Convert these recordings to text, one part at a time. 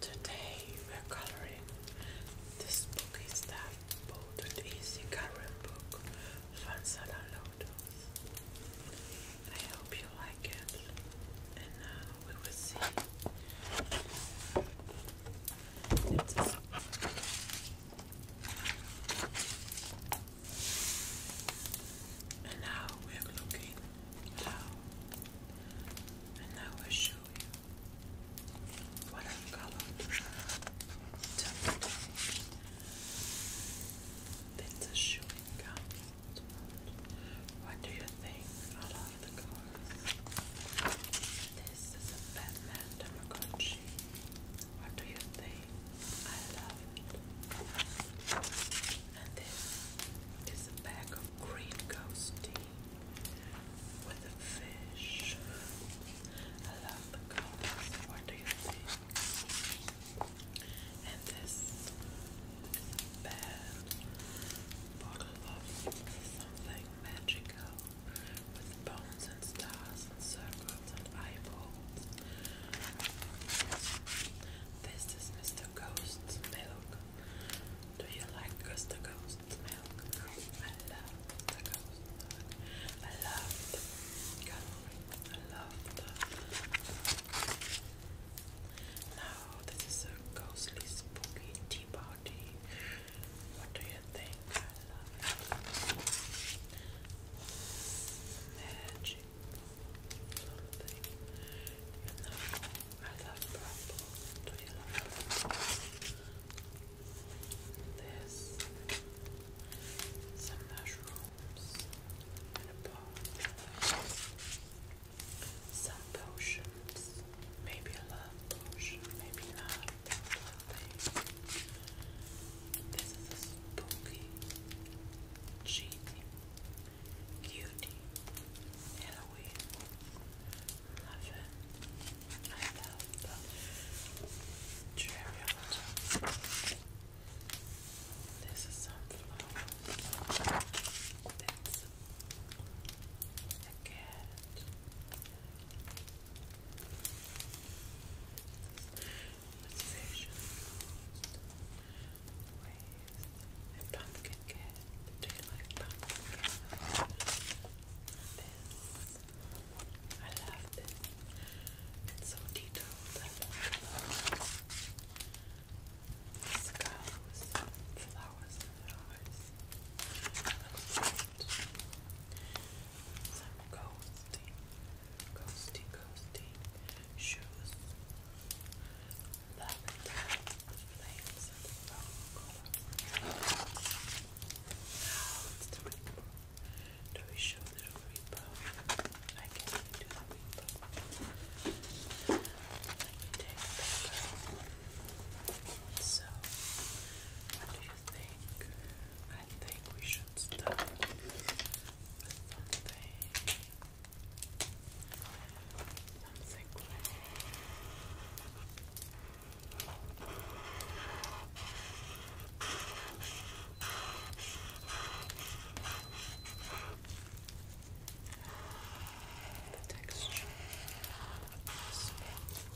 Today we're coloring this book is that bolded easy current book Fansana Lotus. I hope you like it and now uh, we will see. And now we're looking and now I show you what I've colored. That's a showing What do you think? I the color. This is a Batman Demogorgon. What do you think? I love it. And this is a bag of green ghost tea with a fish. I love the colors. What do you think? And this is a bad bottle of something magical with bones and stars and circles and eyeballs. This is Mr. Ghost's milk. Do you like Mr. Ghost's milk? I love Mr. Ghost milk. I love I love Now, this is a ghostly spooky party. What do you think? I love it. Magic. Something. You I love purple. Do you love This. Some mushrooms. Some potions. Maybe a love potion, maybe not. This is a spooky, cheesy, cutie Halloween. Love I love the cherry This is some flower. That's a cat. Sensation waves and pumpkin cat. Do you like I love this. It's so detailed. flowers, and flowers. Looks some ghosty, ghosty, ghosty shoes. Lavender, flames, and brown Do we show the rainbow? I can do the rainbow. So, what do you think? I think we should start with something. Something the texture,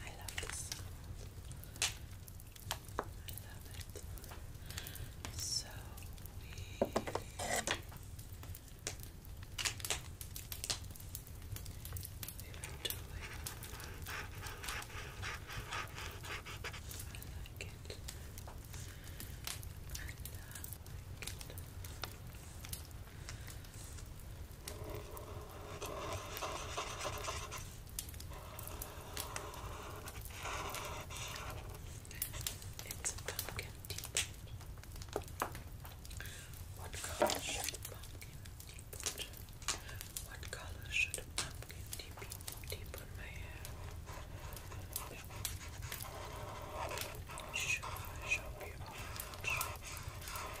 I love this sound. I love it. So we I like it. I love it. It's a pumpkin tea pot. What color should a pumpkin tea pot? What color should a pumpkin tea pot? Tea pot may have. Should I show you orange?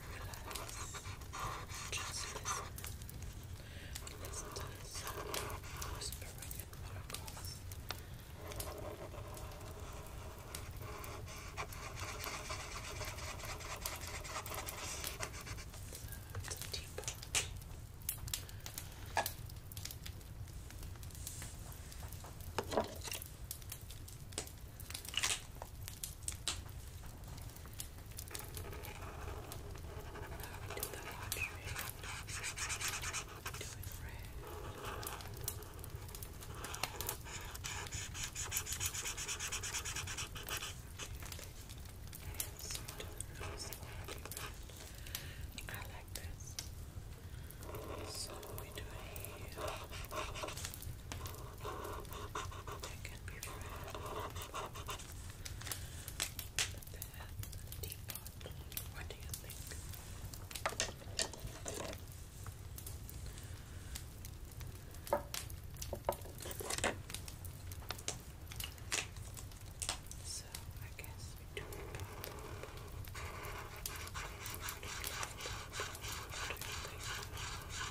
relax. Just listen. Listen to the sound of whispering and miracles. It's a deeper. Now we do the contract. We do it red. Yes, we do the rose already red. I like this. So we do it here. That can be red. The pan, the teapot. What do you think? So I guess we do what do you think?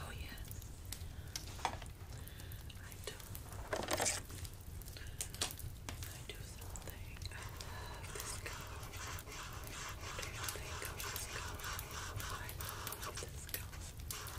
Oh yes, I do. I do something. I love this color. Do you this color? I love this color.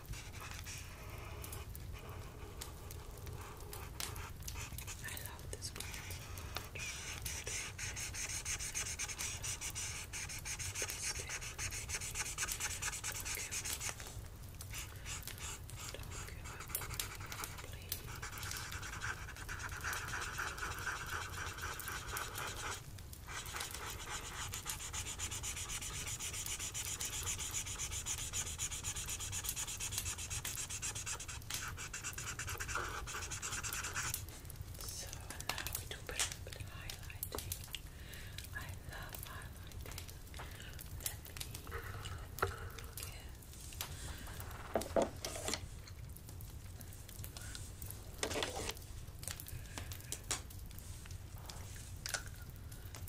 I love this one Please. So now we do a bit of highlighting. I love highlighting. Let me, let me get.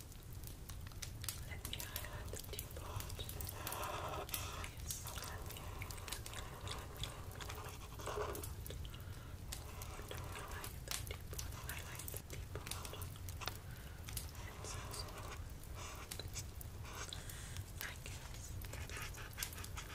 Let me highlight the deep part. Yes, let me, let me, let me, let me. I don't like the deep part. I like the deep part. It's so I guess. Yes, it is.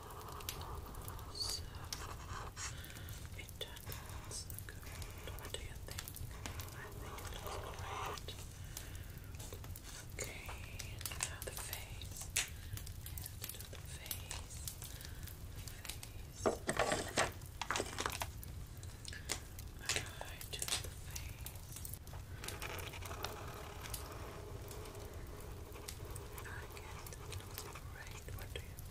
So, it turns out good. What do you think? I think it looks great. Okay, now the face. And the face. The face. Alright, do the face. I guess it looks great. What do you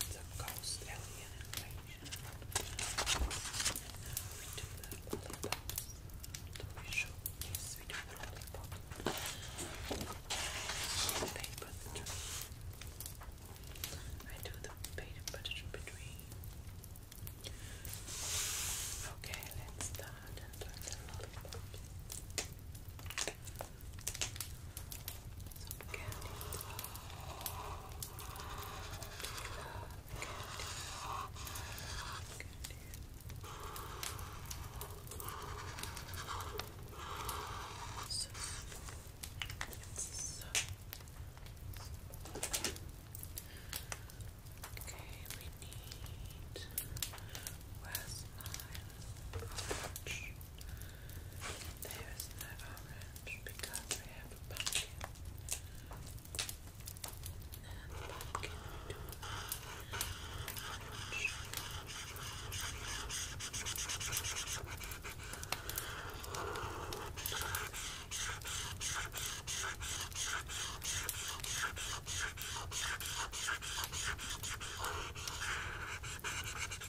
It's a ghost alien invasion. Now do the lollipops. Do we Yes, we do the lollipops. Paper I do the paper butter between. Okay, let's start some candy. Okay, we need. Where's my orange. There is no orange because we have a pumpkin. And the pumpkin we do orange.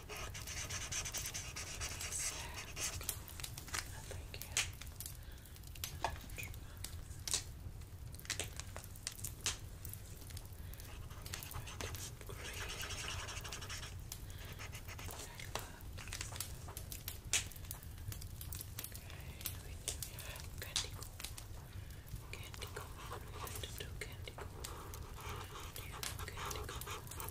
So, I think it Okay, we do have candy corn. Candy corn. We have to do candy corn. Do you know candy corn?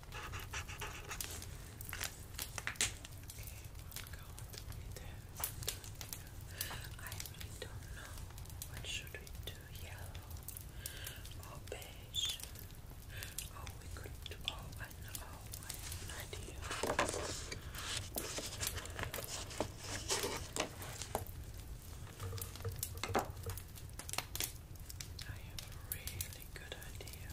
I really what should we do, yellow or beige. Oh, we could do, oh, I know, oh, an idea. I have a really good idea.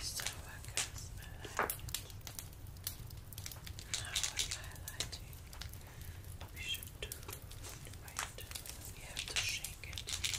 So I guess I like it. Now with highlighting, we should do right. We have to shake it. We have to shake it.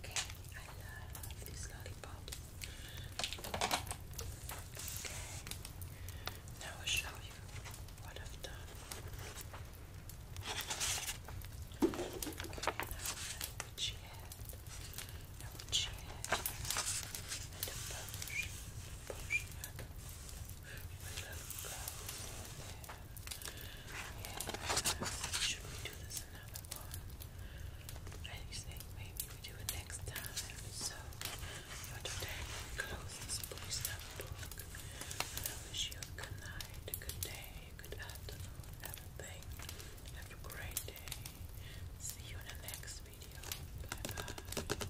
Okay, I love these lollipops. Okay, now I'll show you what I've done. Okay, now what she I don't know. Should we do this another one? I maybe we do it next time. So, for today, close this place book. I wish you a good night, a good day, a good afternoon, everything. Have a great day. See you in the next video. Bye bye.